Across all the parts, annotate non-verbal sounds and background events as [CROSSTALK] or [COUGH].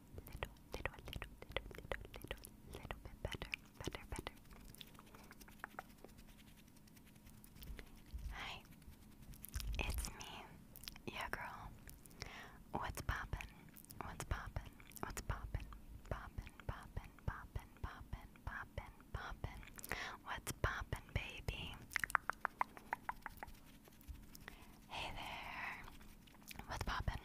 little, little, little, little, little, little, little, bit better, better, better. Hi, it's me, your girl. What's poppin'? What's poppin'? What's poppin'? Poppin', poppin', poppin', poppin', poppin', poppin'. What's poppin', baby? Hey there, what's poppin'?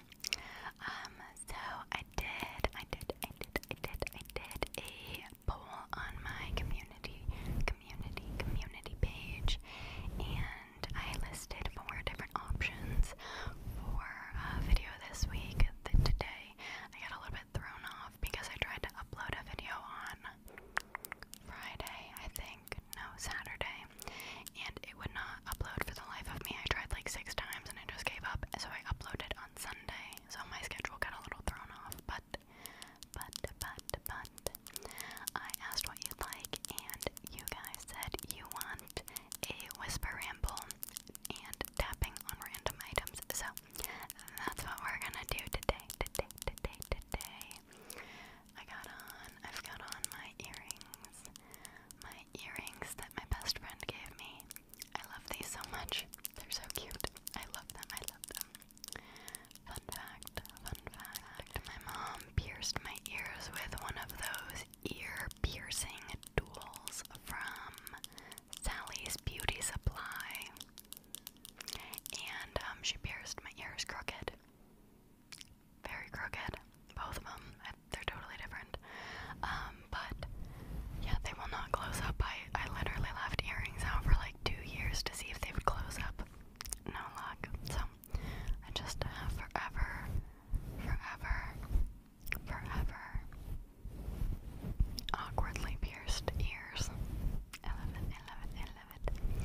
Um, so I did, I did, I did, I did, I did a poll on my community, community, community page, and I listed four different options for a video this week. That today I got a little bit thrown off because I tried to upload a video on Friday, I think no Saturday, and it would not upload for the life of me. I tried like six times and I just gave up, so I uploaded on Sunday. So my schedule got a little thrown off, but, but, but, but, I asked what you'd like, and you guys said you want a whisper ramble and tapping on random items. So that's what we're gonna do today, today, today, today. I got on, I've got on my earrings. My earrings that my best friend gave me. I love these so much. They're so cute. I love them, I love them. Fun fact, fun fact. My mom pierced my ears with one of those ear piercing tools from Sally's Beauty Supply. And um, she pierced my ears crooked very crooked, both of them. They're totally different. Um, but yeah, they will not close up. I, I literally left earrings out for like two years to see if they would close up. No luck. So I just have uh, forever, forever, forever awkwardly pierced ears. I love it,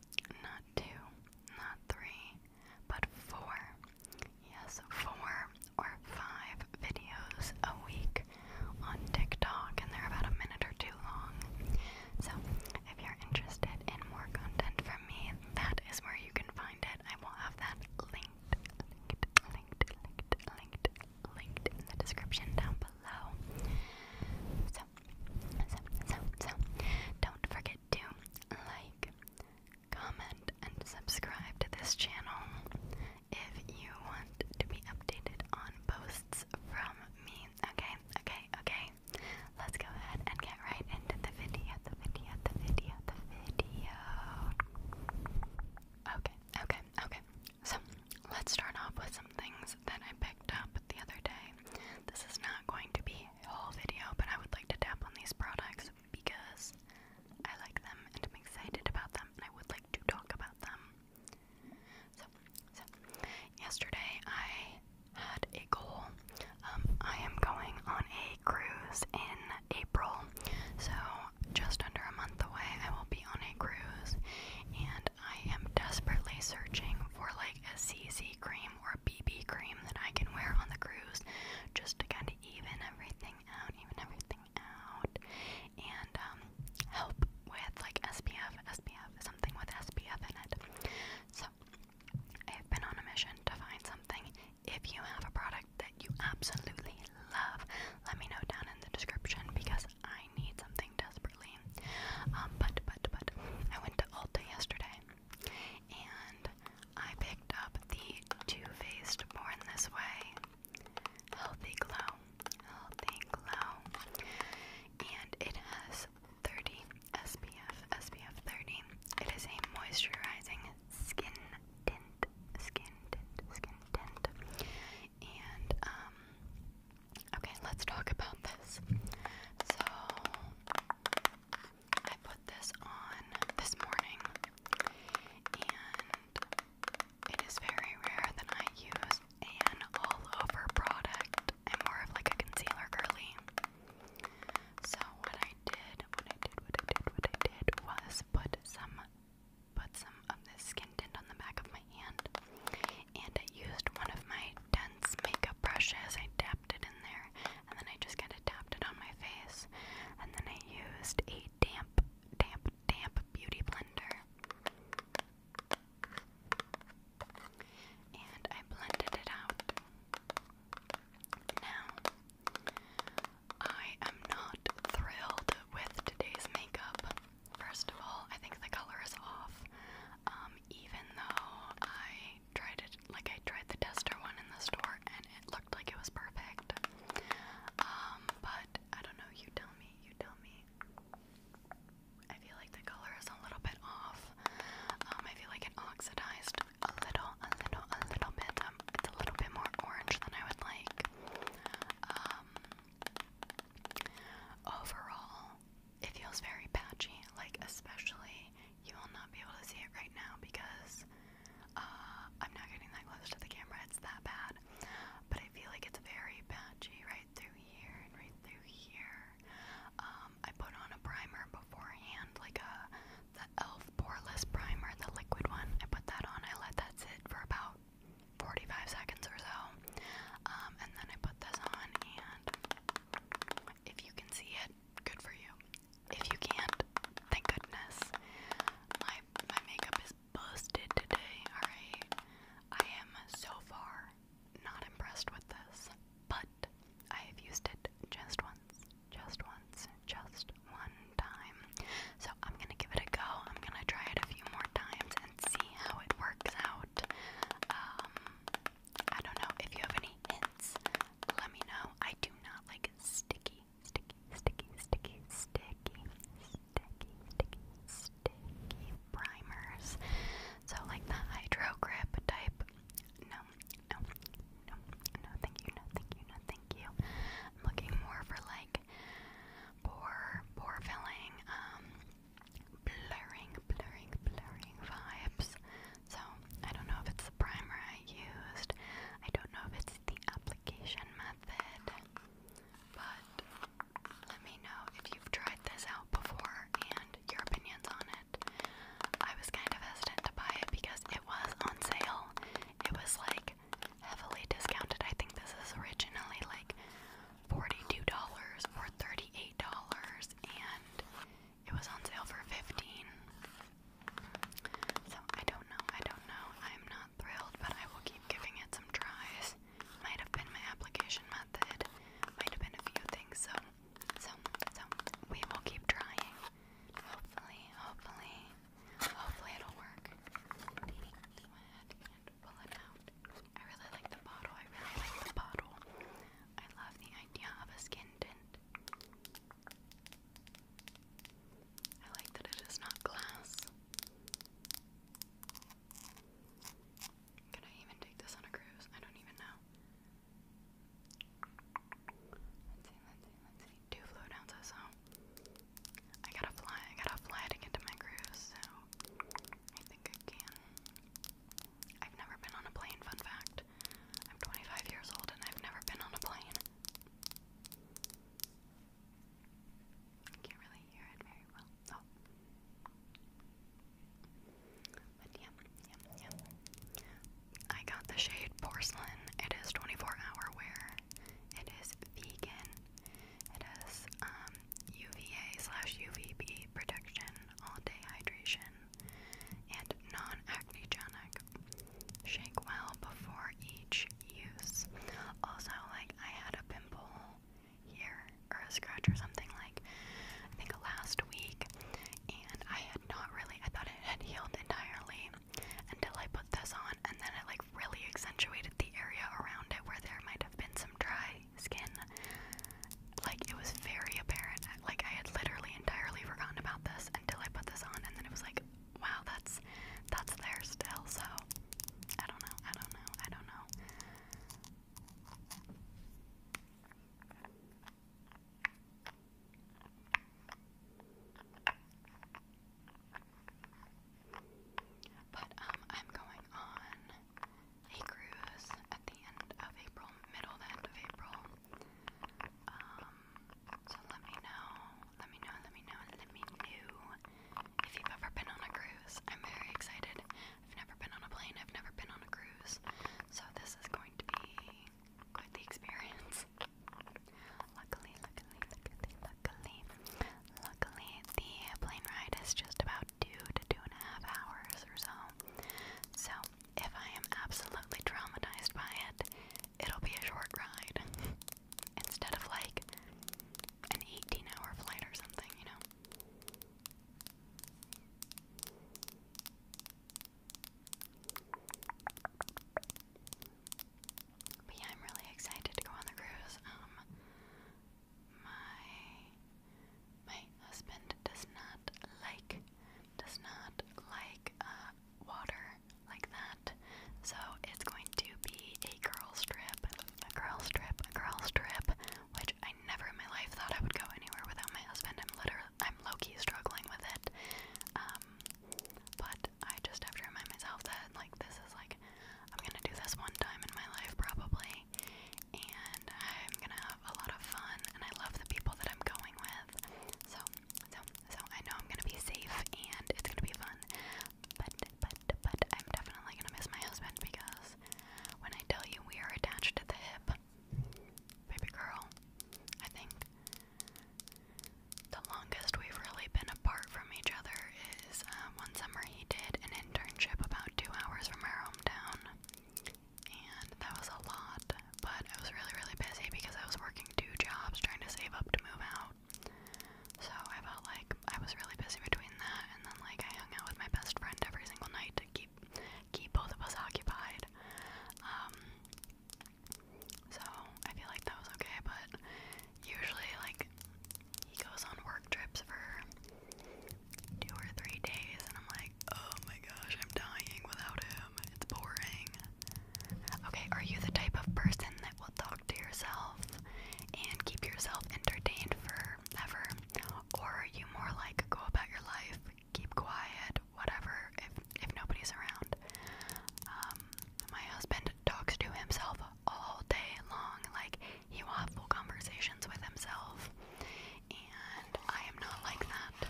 not two, not three, but four. Yes, four or five videos a week on TikTok, and they're about a minute or two long. So, if you're interested in more content from me, that is where you can find it. I will have that linked, linked, linked, linked, linked, linked in the description down below. So, so, so, so, don't forget forget to like, comment, and subscribe to this channel if you want to be updated on posts from me. Okay, okay, okay. Let's go ahead and get right into the video, the video, the video, the video. Okay, okay, okay. So, let's start off with some things that I picked up the other day. This is not going to be whole video, but I would like to tap on these products because I like them and I'm excited about them and I would like to talk about them. So, so yesterday I had a goal. Um, I am going on a cruise in April, so just under a month away I will be on a cruise, and I am desperately searching for like a CC cream or a BB cream that I can wear on the cruise just to kind of even everything out, even everything out, and um, help with like SPF, SPF, something with SPF in it. So I've been on a mission to find something. If you have a product that you absolutely love, let me know down in the description because I need something desperately. Um, but, but, but, I went to Ulta yesterday and I picked up the Too Faced Born This Way Healthy Glow. Healthy Glow. And it has 30 SPF. SPF 30. It is a moisturizing skin tint. Skin tint. Skin tint. And, um, okay, let's talk about this. So, I put this on this morning, and it is very rare that I use an all over product. I'm more of like a concealer girly. So, what I did, what I did, what I did, what I did was put some. Put some of this skin tint on the back of my hand, and I used one of my dense makeup brushes. I it in there, and then I just kind of tapped it on my face, and then I used a damp, damp, damp beauty blender. And I blended it out. Now, I am not thrilled with today's makeup. First of all, I think the color is off. Um, even though I tried it, like I tried the tester one in the store and it looked like it was perfect. Um, but I don't know, you tell me, you tell me. I feel like the color is a little bit off. Um, I feel like it oxidized a little, a little, a little bit. it's a little bit more orange than I would like. overall, it feels very patchy, like especially you will not be able to see it right now because uh, I'm not getting that close to the camera, it's that bad. But I feel like it's very patchy right through here and right through here. Um, I put on a primer beforehand, like a the e.l.f. poreless primer, the liquid one. I put that on, I let that sit for about 45 seconds or so. Um, and then I put this on and if you can see it, good for you. If you can't, thank goodness. My my makeup is busted today, alright? I am so far not impressed with this, but I have used it just once, just once, just one time. So I'm gonna give it a go. I'm gonna try it a few more times and see how it works out. Um, I don't know if you have any hints. Let me know. I do not like sticky, sticky, sticky, sticky, sticky, sticky, sticky, sticky primers. So like the hydro grip type. No, no, no, no. Thank you. No, thank you. No, thank you. I'm looking more for like pore, pore filling. Um, blurring, blurring, blurring vibes. So I don't know if it's the primer I used. I don't know if it's the application method. But let me know if you've tried this out before and your opinions on it. I was kind of hesitant to buy it because it was on sale. It was like heavily discounted. I think this is originally like $42 or $38 and it was on sale for 15. So I don't know, I don't know. I'm not thrilled, but I will keep giving it some tries. Might have been my application method. Might have been a few things, so so so we will keep trying. Hopefully, hopefully, hopefully it'll work. pull it out. I really like the bottle. I really like the bottle. I love the idea of a skin tint. I like that it is not glass. Can I even take this on a cruise? I don't even know. Let's see, let I gotta fly, I gotta fly to get to my cruise, so I think I can. I've never been on a plane, fun fact. I'm 25 years old and I've never been on a plane. I can't really hear it very well. Oh. But yeah, yeah, yeah. I got the shade Porcelain. It is 24 hour wear. It is vegan. It is um, UVA slash UVB protection, all day hydration and non-acnegenic. Shake well before each use. Also, like I had a pimple here or a scratch or something like I think last week, and I had not really. I thought it had healed entirely until I put this on, and then it like really accentuated the area around it where there might have been some dry my skin. Like it was very apparent. Like I had literally entirely forgotten about this until I put this on, and then it was like, wow, that's that's there still. So I don't know. I don't know. I don't know. But um, I'm going on a cruise at the end of April, middle to end of April. Um, so let me know, let me know, let me know, let me know if you've ever been on a cruise. I'm very excited. I've never been on a plane, I've never been on a cruise. So this is going to be quite the experience. Luckily, luckily, luckily, luckily, luckily, the plane ride is just about two to two and a half hours or so. So if I am absolutely traumatized by it, it'll be a short ride [LAUGHS] instead of like an 18 hour flight or something, you know? But I'm really excited to go on the cruise. Um, my my husband does not like does not like uh, water like that. So it's going to be a curl strip, a curl strip, a curl strip, which I never in my life thought I would go anywhere without my husband. I'm literally, I'm low-key struggling with it. Um, but I just have to remind myself that like this is like I'm gonna do this one time in my life probably, and and I'm gonna have a lot of fun, and I love the people that I'm going with. So, so, so I know I'm gonna be safe, and it's gonna be fun. But, but, but I'm definitely gonna miss my husband because when I tell you we are attached to the hip, baby girl, I think the longest we've really been apart from each other is uh, one summer he did an internship about two hours from our hometown and that was a lot, but I was really, really busy because I was working two jobs trying to save up to move out. So I felt like I was really busy between that and then like I hung out with my best friend every single night to keep keep both of us occupied. Um so I feel like that was okay, but usually like he goes on work trips for two or three days, and I'm like, oh my gosh, I'm dying without him. It's boring. Okay, are you the type of person that will talk to yourself and keep yourself entertained for forever? Or are you more like go about your life, keep quiet, whatever, if, if nobody's around? Um, my husband talks to himself all day long, like he will have full conversations with himself and I am not like that.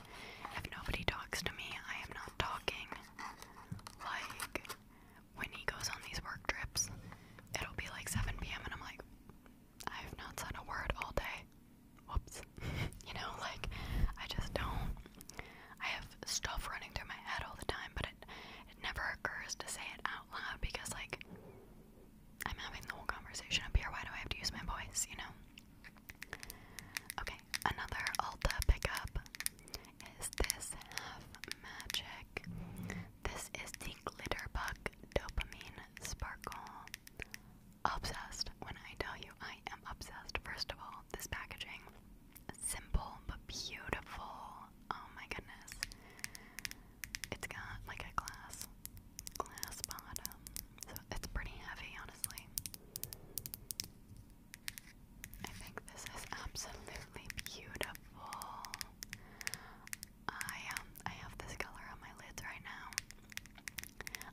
If nobody talks to me, I am not talking. Like, when he goes on these work trips, it'll be like 7 p.m., and I'm like, I have not said a word all day. Whoops. [LAUGHS] you know, like, I just don't. I have stuff running through my head all the time, but it, it never occurs to say it out loud because, like, I'm having the whole conversation up here. Why do I have to use my voice, you know? Okay, another Ulta pickup is this Half Magic. This is the Glitterbug Dopamine Sparkle. Obsessed. When I tell you I am obsessed, first of all, this packaging. Simple but beautiful. Oh my goodness. It's got like a glass glass bottom. So it's pretty heavy, honestly. I think this is absolutely beautiful. I um I have this color on my lids right now.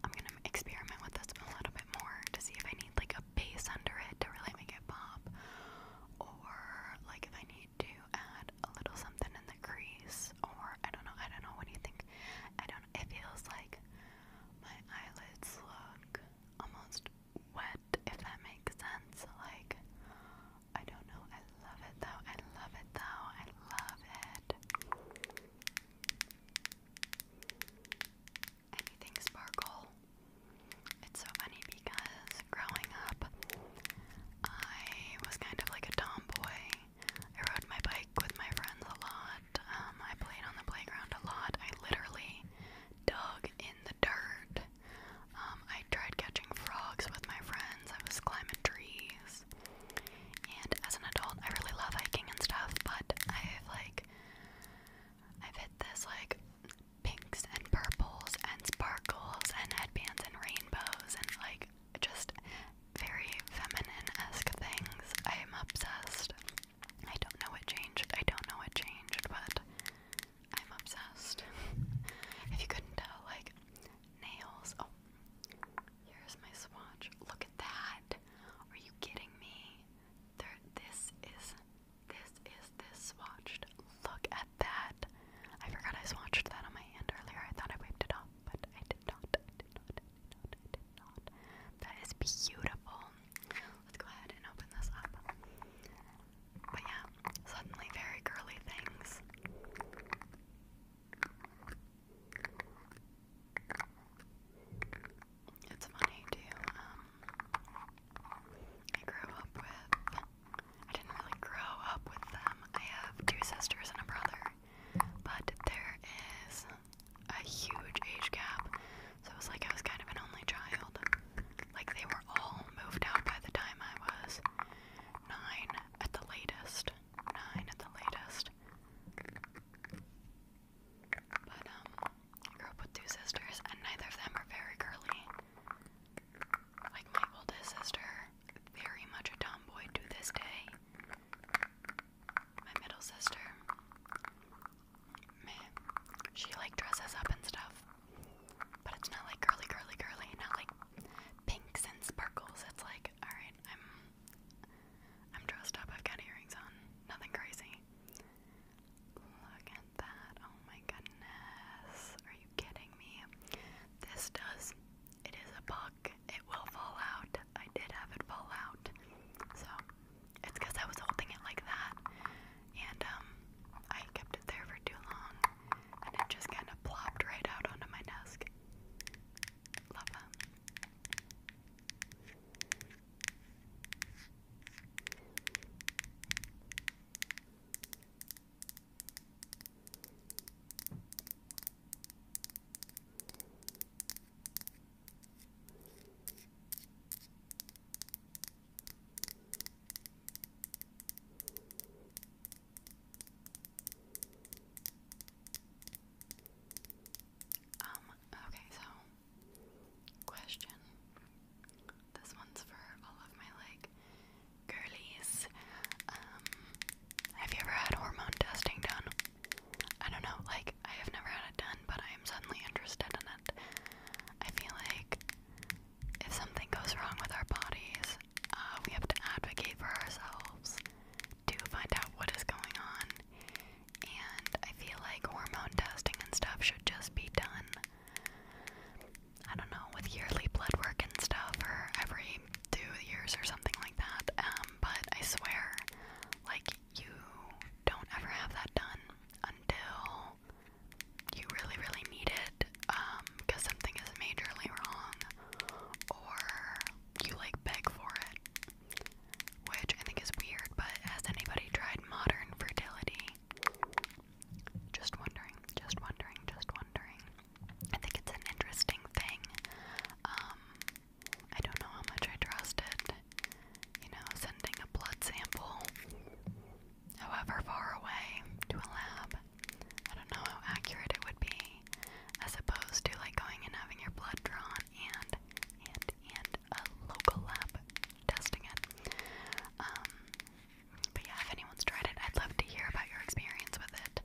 I'm gonna experiment with this a little bit more to see if I need like a base under it to really make it pop, or like if I need to add a little something in the crease, or I don't know, I don't know. What do you think? I don't. It feels like my eyelids look almost wet, if that makes sense. Like I don't know. I love it though. I love it though. I love it. Anything sparkle. It's so funny because growing up, I was kind of like a tomboy I rode my bike with my friends a lot. Um, I played on the playground a lot. I literally dug in the dirt. Um, I tried catching frogs with my friends. I was climbing trees. And as an adult, I really love hiking and stuff, but I've like, I've hit this like pinks and purples and sparkles and headbands and rainbows and like just very feminine-esque things. I am obsessed. I don't know what changed. I don't know what changed, but I'm obsessed. if you couldn't tell, like nails. Oh, here's my swatch. Look at that. Are you kidding me? There, this is this is this swatched. Look at that. I forgot I swatched that on my hand earlier. I thought I wiped it off, but I did not. That is beautiful. Let's go ahead and open this up. But yeah, suddenly very girly things. It's funny too, um, I grew up with, I didn't really grow up with them. I have two sisters and a brother, but there is a huge age gap. So it was like I was kind of an only child. Like they were all moved out by the time I was nine at the latest. Nine at the latest. But um I grew up with two sisters and neither of them are very girly. Like my oldest sister very much a tomboy to this day. My middle sister, meh, she like dresses up and stuff, but it's not like curly, curly, curly, not like pinks and sparkles. It's like, all right, I'm, I'm dressed up. I've got earrings on, nothing crazy. Look at that! Oh my goodness, are you kidding me? This does. It is a buck it will fall out. I did have it fall out. So it's because I was holding it like that. And um, I kept it there for too long. And it just kind of plopped right out onto my desk. Love that. Um, okay, so question. This one's for all of my like girlies. Um have you ever had hormone testing done? I don't know, like, I have never had it done, but I am suddenly interested in it. I feel like if something goes wrong with our bodies, uh, we have to advocate for ourselves to find out what is going on. And I feel like hormone testing and stuff should just be done. I don't know, with yearly blood work and stuff, or every two years or something like that. Um, but I swear, like you don't ever have that done until you really, really need it um, because something is majorly wrong, or you like beg for it, which I think is weird. But has anybody tried modern fertility? Just wondering, just wondering, just wondering. I think it's an interesting thing. Um, I don't know how much I trust it. You know, sending a blood sample, however far away, to a lab. I don't know how accurate it would be, as opposed to like going and having your blood drawn and and and a local lab testing it. Um, but yeah, if anyone's tried it, I'd love to hear about your experience with it.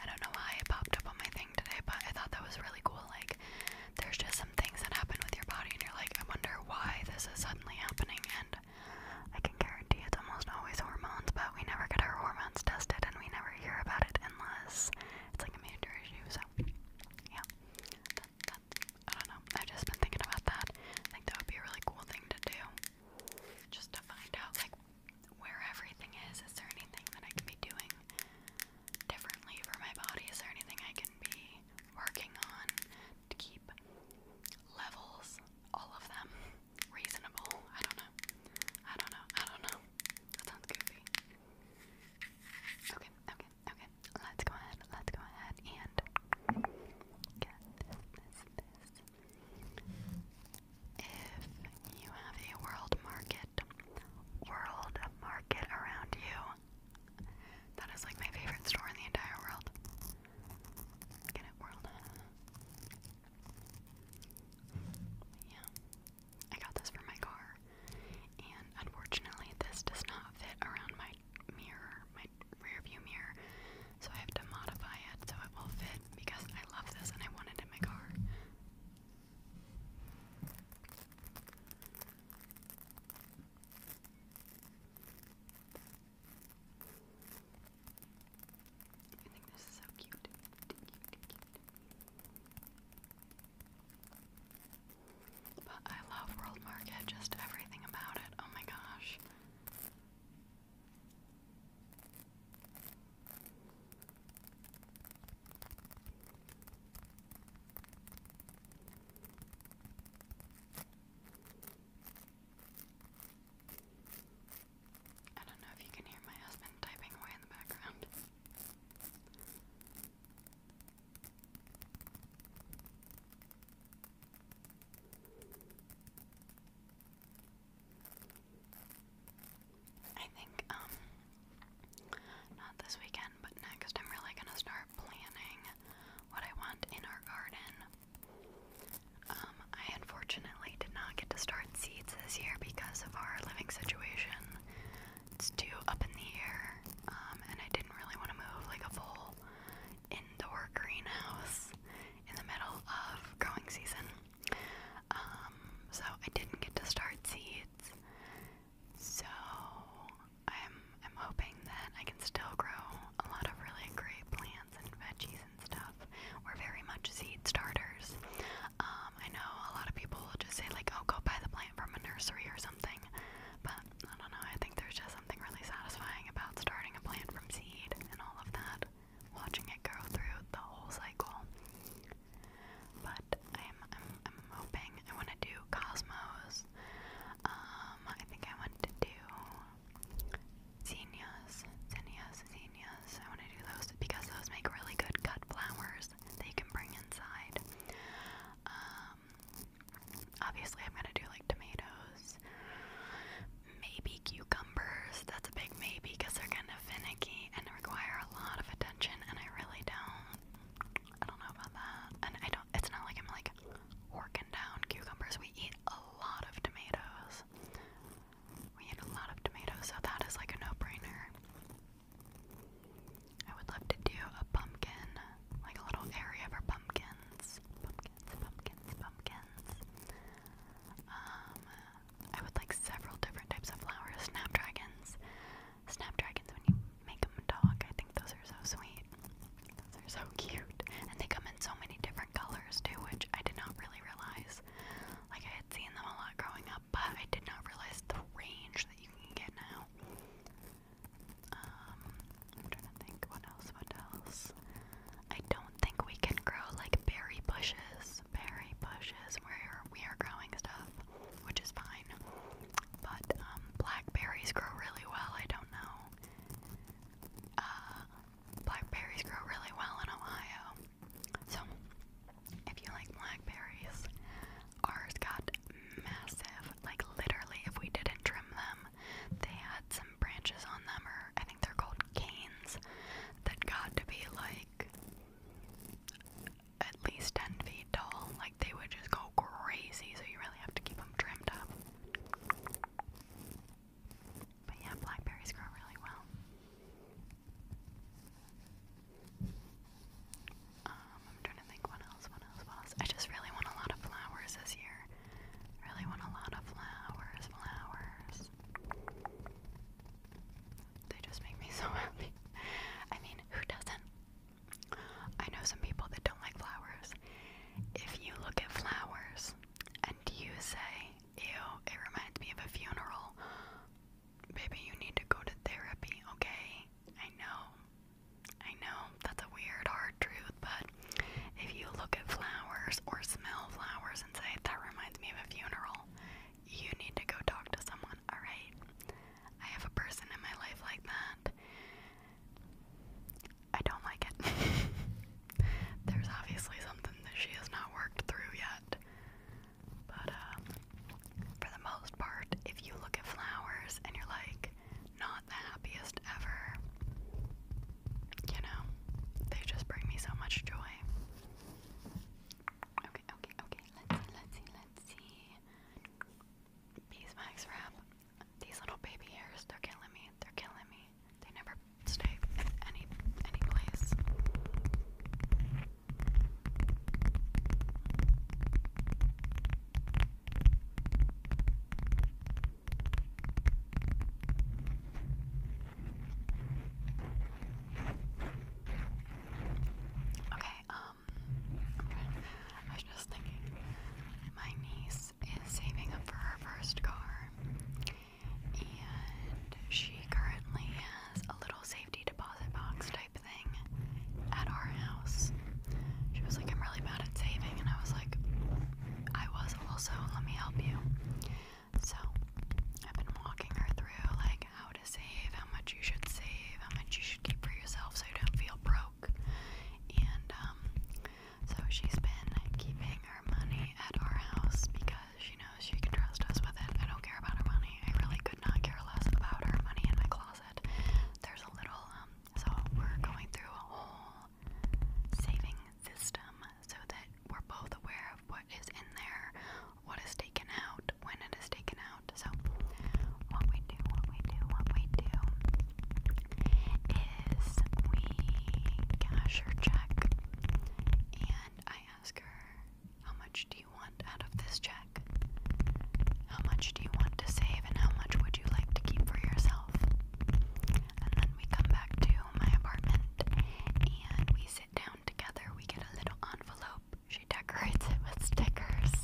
I don't know why it popped up on my thing today, but I thought that was really cool. Like, there's just some things that happen with your body, and you're like, I wonder why this is suddenly happening. And I can guarantee it's almost always hormones, but we never get our hormones tested, and we never hear about it unless it's like a major issue. So, yeah, that, that, I don't know. I've just been thinking about that. I think that would be a really cool thing to do, just to find out like where everything is. Is there anything that I can be doing differently for my body? Is there anything I can be working on to keep levels, all of them, reasonable? I don't know. I don't know. I don't know. That sounds goofy. Okay, okay, okay. Let's go ahead. Let's go ahead and get this, this, if you have a world market, world market around you, that is like my favorite store in the entire world. Get it, world? Yeah. I got this for my car, and unfortunately, this does not fit around my mirror, my rear view mirror, so I have to modify it so it will fit because I love this and I want it in my car. I think this is so cute. But I love World Market, just everything about it. Oh my gosh. I don't know if you can hear my husband typing away in the background. I think, um, not this weekend, but next, I'm really gonna start planning what I want in our garden. Um, I unfortunately did not get to start seeds this year because of our living situation. It's too up in the air, um, and I didn't really want to move like a full indoor greenhouse in the middle of growing season. Um, so I didn't get to start seeds. So I'm I'm hoping that I can still grow a lot of really great plants and veggies and stuff. We're very much seed starters. Um, I know a lot of people will just say like, oh, go buy the plant from a nursery or something. But I don't know. I think there's just something really satisfying about starting a plant from seed and all of that watching it grow through the whole cycle. But I'm hoping I want to do Cosmos. Um, I think I want to do Zinnias, Zinnias, Zinnias. I want to do those because those make really good cut flowers that you can bring inside. Um, obviously I'm gonna do like tomatoes, Maybe cucumbers. That's a big maybe because they're kind of finicky and require a lot of attention, and I really don't. I don't know about that. And I don't. It's not like I'm like working down cucumbers. We eat a lot of tomatoes. We eat a lot of tomatoes, so that is like a no-brainer. I would love to do a pumpkin, like a little area for pumpkins, pumpkins, pumpkins, pumpkins. Um, I would like several different types of flowers. Snapdragons. Snapdragons, when you make them dog, I think those are so sweet. Those are so [LAUGHS] cute. And they come in so many different colors too, which I did not really realize. Like, I had seen them a lot growing up, but I did not realize the range that you can get now. Um, I'm trying to think what else, what else. I don't think we can grow like berry bushes bushes, berry bushes, where we are growing stuff, which is fine. But um, blackberries grow really well. I don't know. Uh, blackberries grow really well in Ohio. So, if you like blackberries, ours got massive. Like, literally, if we didn't trim them, they had some branches on them, or I think they're called canes, that got to be like at least 10 feet tall. Like they would just go crazy, so you really have to keep them trimmed up. But yeah, blackberries grow really well. Um, I'm trying to think what else, what else, what else. I just really want a lot of flowers this year. Really want a lot of flowers, flowers they just make me so [LAUGHS] happy. I mean, who doesn't? I know some people that don't like flowers. If you look at flowers and you say, ew, it reminds me of a funeral, baby, you need to go to therapy, okay? I know. I know that's a weird, hard truth, but if you look at flowers or smell flowers and say, that reminds me of a funeral, you need to go talk to someone, alright? I have a person in my life like that. I don't like it. [LAUGHS] There's obviously something that she has not worked through yet. But, um, for the most part, if you look at flowers and you're like, not the happiest ever, you know, they just bring me so much joy. Okay, okay, okay. Let's see, let's see, let's see. Beeswax wrap. These little baby hairs, they're killing me. They're killing me. They never stay in any any place. Okay, um, I was just thinking, my niece is saving up for her first car, and she currently has a little safety deposit box type thing at our house. She was like, I'm really bad at saving, and I was like, I was also, let me help you. So I've been walking her through like how to save, how much you should save, how much you should keep for yourself so you don't feel broke. And um so she's been keeping her money at our house because she knows she can trust us with it. I don't care about her money. I really could not care less about her money in my closet. There's a little um so we're going through a whole saving system so that we're both aware of what is in there, what is taken out, when it is taken out. So, what we do, what we do, what we do is we cash her check and I ask her, How much do you want out of this check? How much do you want to save, and how much would you like to keep for yourself? And then we come back to my apartment and we sit down together, we get a little envelope. She decorates it with stickers.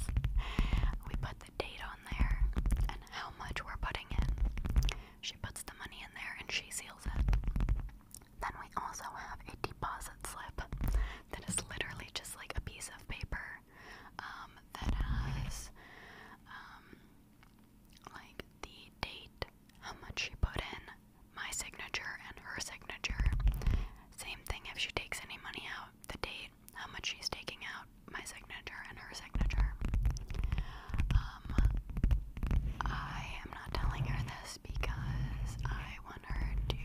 We put the date on there and how much we're putting in. She puts the money in there and she seals it. Then we also have a deposit slip that is literally just like a piece of paper um, that has um, like the date how much she put in, my signature and her signature. Same thing if she takes any money out, the date, how much she's taking out, my signature and her signature. Um, I am not telling her this because I want her to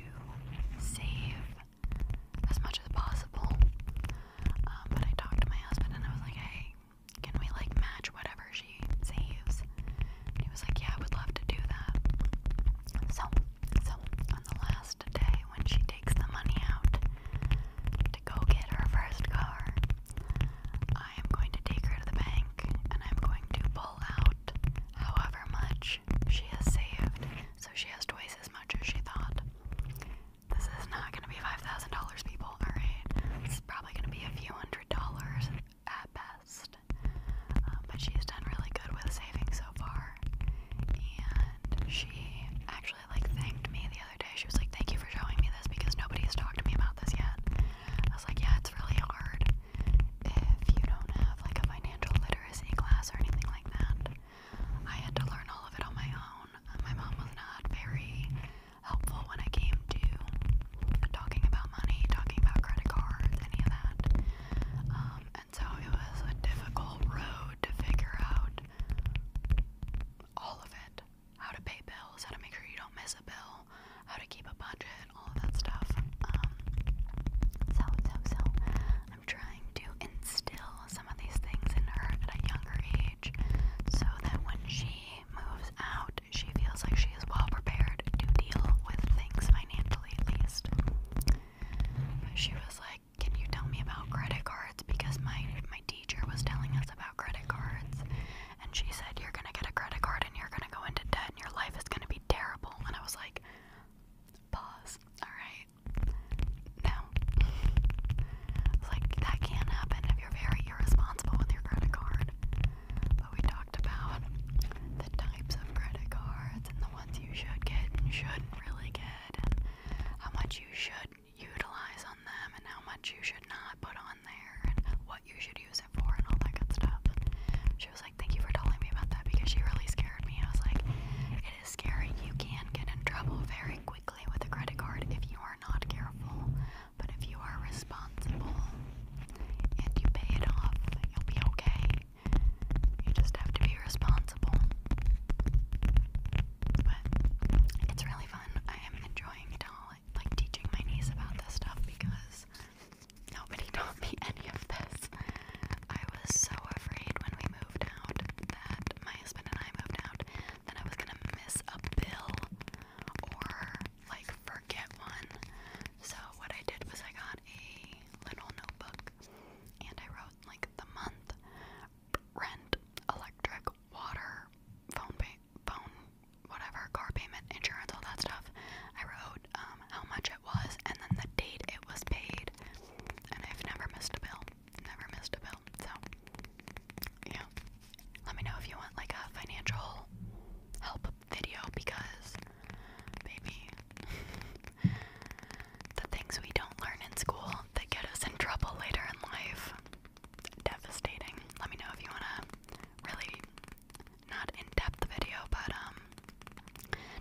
save as much as possible. Um, but I talked to my husband and I was like, hey, can we like match whatever she she saves. he was like, Yeah, I would love to do that. So, so on the last day when she takes the money out to go get her first car, I am going to take her to the bank and I'm going to pull out however much she has saved. So she has twice as much as she thought. This is not gonna be $5,000, people, alright? This is probably gonna be a few hundred dollars at best. Um, but she's done really good with saving so far. And she actually like thanked me the other day. She was like, "Thank you for showing me this because nobody's talked to me about this yet." I was like, "Yeah, it's really hard if you don't have like a financial literacy class or anything like that." I had to learn all of it on my own. My mom was not very helpful when it came to talking about money, talking about credit cards, any of that. Um, and so it was a difficult road to figure out all of it how to pay bills, how to make sure you don't miss a bill, how to keep a budget, all that stuff. Um, so, so, so, I'm trying to instill some of these things in her at a younger age so that when she moves out she feels like she is well prepared to deal with things financially, at least. she was like, "Can you tell me about credit cards? Because my my teacher was telling us about credit cards, and she said you're gonna get a credit card and you're gonna go into debt and your life is gonna be terrible." And I was like, "Pause. All right, no." It's like that can't happen if you're very irresponsible with your credit card. But we talked about the types of credit cards and the ones you should get and shouldn't really get, and how much you should utilize on them and how much you should not put on there, and what you should use it for, and all that good stuff. She was like, Thank you for telling me about that because she really scared me. I was like, It is scary. You can get in trouble very quickly with a credit card if you are not careful. But if you are responsible and you pay it off, you'll be okay. You just have to be responsible. But it's really fun. I am enjoying it all, like teaching my niece about this stuff because nobody [LAUGHS] taught me any of this. I was so afraid when we moved out that my husband and I moved out that I was gonna miss a bill or like forget one. So what I did was I got a little notebook and I wrote like the month, rent, electric, water, phone pay, phone, whatever, car payment, insurance, all that stuff. I wrote um, how much it was and then the date it was paid. And I've never missed a bill. Never missed a bill. So yeah, let me know if you want like a financial help video because maybe [LAUGHS] the things we don't learn in school that get us in trouble later in life devastating. Let me know if you want a really not in-depth video but um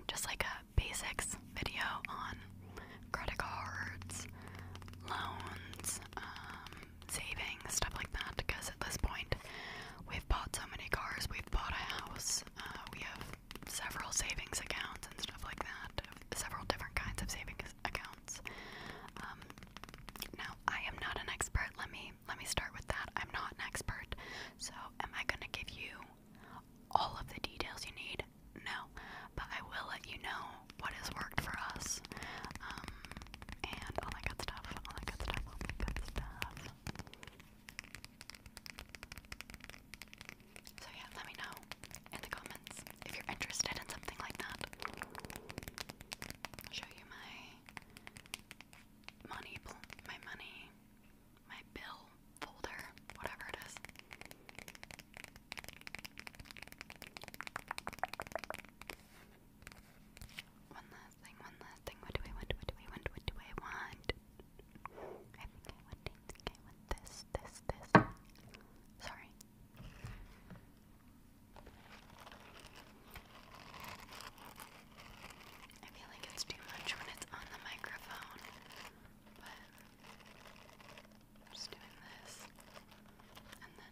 just like a basics video on credit cards, loans, um saving, stuff like that, because at this point we've bought so many cars, we've bought a house, uh, we have several savings accounts and stuff like that, several different kinds of savings accounts. Um, now, I am not an expert. Let me let me start with that. I'm not an expert. So, am I going to give you all of the details you need? No, but I will let you know what has worked for us. Um, and all that good stuff, all that good stuff, all that good stuff. So yeah, let me know in the comments if you're interested in something like that. show you my money, my money, my bill folder, whatever it is. One last thing, one last thing. What do I want? What do I want? What do I want? I think I want, I I want this, this, this. Sorry. I feel like it's too much when it's on the microphone, but I'm just doing this and then.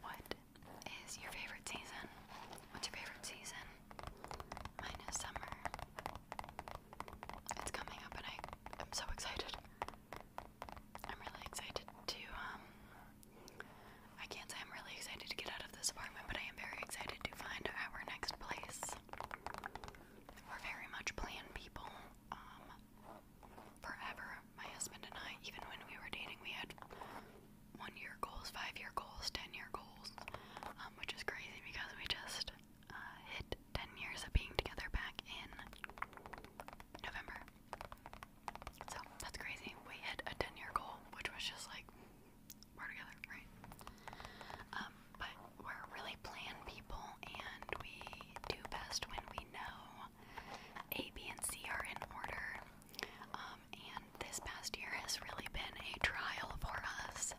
What is your favorite season? What's your favorite season? Mine is summer. It's coming up and I am so excited. I'm really excited to um I can't say I'm really excited to get out of this apartment, but I am very excited to find our next place. We're very much plan people. Um, forever, my husband and I, even when we were dating, we had one year goals, five year goals, ten year goals, um, which is crazy because we just uh, hit 10 years of being together back in November. So that's crazy. We hit a 10 year goal, which was just like we're together, right? Um, but we're really plan people and we do best when we know A, B, and C are in order. Um, and this past year has really been a trial for us.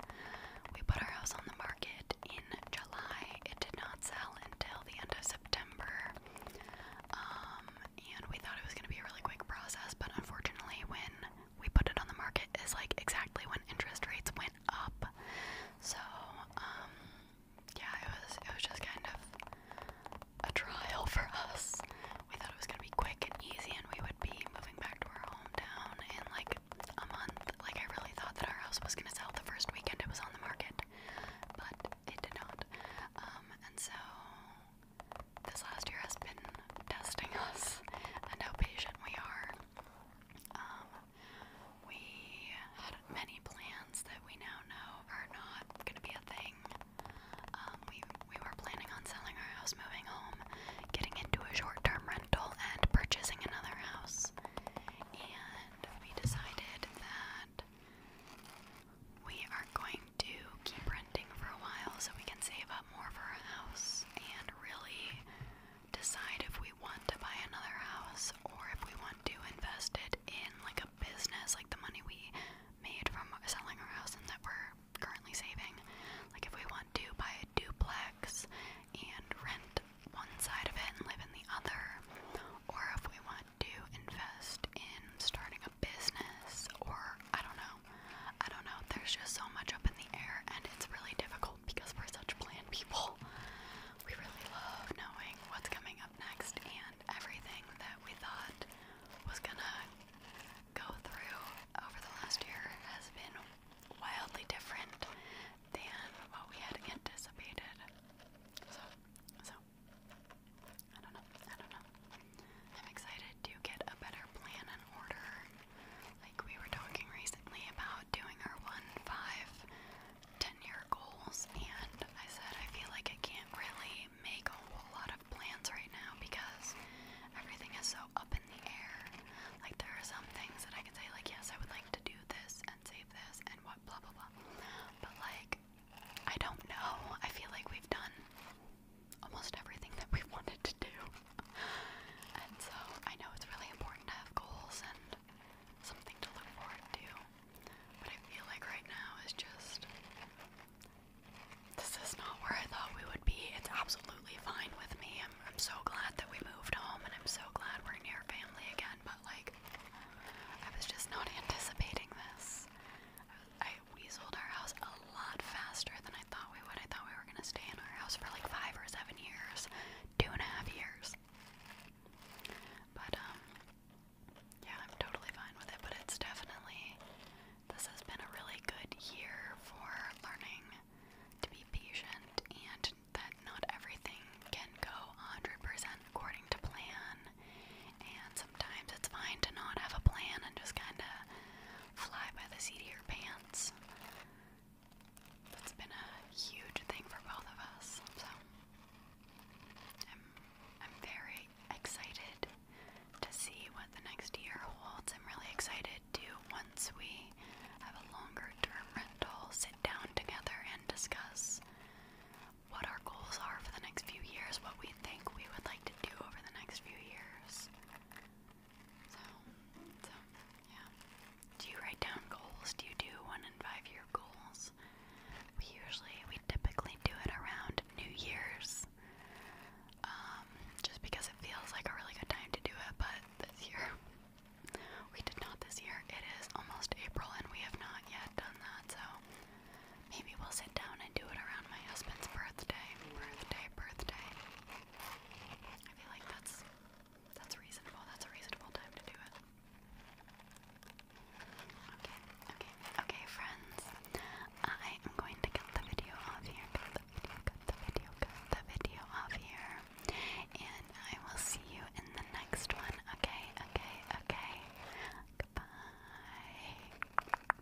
We put our house on the market in July. It did not sell until the end of September. Um, and we thought it was going to be a really quick process, but unfortunately, when we put it on the market is like exactly when interest rates went up. So, um, yeah, it was it was just kind of a trial for us. We thought it was gonna be quick and easy, and we would be moving back to our hometown in like a month. Like I really thought that our house was gonna sell the first weekend it was on the market, but it did not. Um, and so this last year has been testing us and how patient we are. Um, we had many plans that we now know are not going to be a thing. Um, we, we were planning on selling our house, moving home, getting into a short term rental, and purchasing another house. And we decided that we are going to keep renting for a while so we can save up more for a house and really decide if we want to buy another house or if we want to invest it in like a business, like the money we made from selling our house and that we're currently saving. Like if we want to buy a duplex and rent one side of it and live in the other, or if we want to invest in starting a business or I don't know. I don't know. There's just so much up in the air and it's really difficult because we're such planned people. We really love knowing what's coming up next and everything that we thought was gonna go through over the last year has been wildly different than what we had anticipated. So so I don't know. I don't know. I'm excited to get a better plan and order. Like we were talking recently about doing our one, five, ten year goals, and I said I feel like I can't really make a whole lot of plans right now because everything is so up in the air. Like there are some things that I can say like yes I would like to do this and save this and what blah blah blah. But like I don't know. I feel like we've done almost everything that we [LAUGHS] wanted to do. and so I know it's really important to have goals and something to look forward to. But I feel like right now is just this is not where I thought we would be. It's absolutely fine with me. I'm so glad that we moved home and I'm so glad we're near family again, but like I was just not anticipating this. I we sold our house a lot faster than I thought we would. I thought we were gonna stay in our house for like five or seven years, two and a half years. But um, yeah, I'm totally fine with it. But it's definitely this has been a really good year for learning to be patient and that not everything can go 100% according to plan. And sometimes it's fine to not have a plan and just kind of fly by the seat of your pants. That's been a huge thing for both of us. So I'm I'm very excited to see what the next year holds. I'm really excited to once we have a longer term rental, sit down together and discuss what our goals are for the next few years, what we think we would like to do over the next few years. So, so yeah. Do you write down goals? Do you do one in five year goals? We usually, we typically do it around New Year's, um, just because it feels like a really good time to do it. But this year, we did not this year. It is almost April, and we have not yet done that. So, Maybe we'll sit down and do it around my husband's birthday. Birthday, birthday. I feel like that's that's reasonable. That's a reasonable time to do it. Okay, okay, okay, friends. I am going to cut the video off here. Cut the video, cut the video, cut the video off here. And I will see you in the next one. Okay, okay, okay. Goodbye.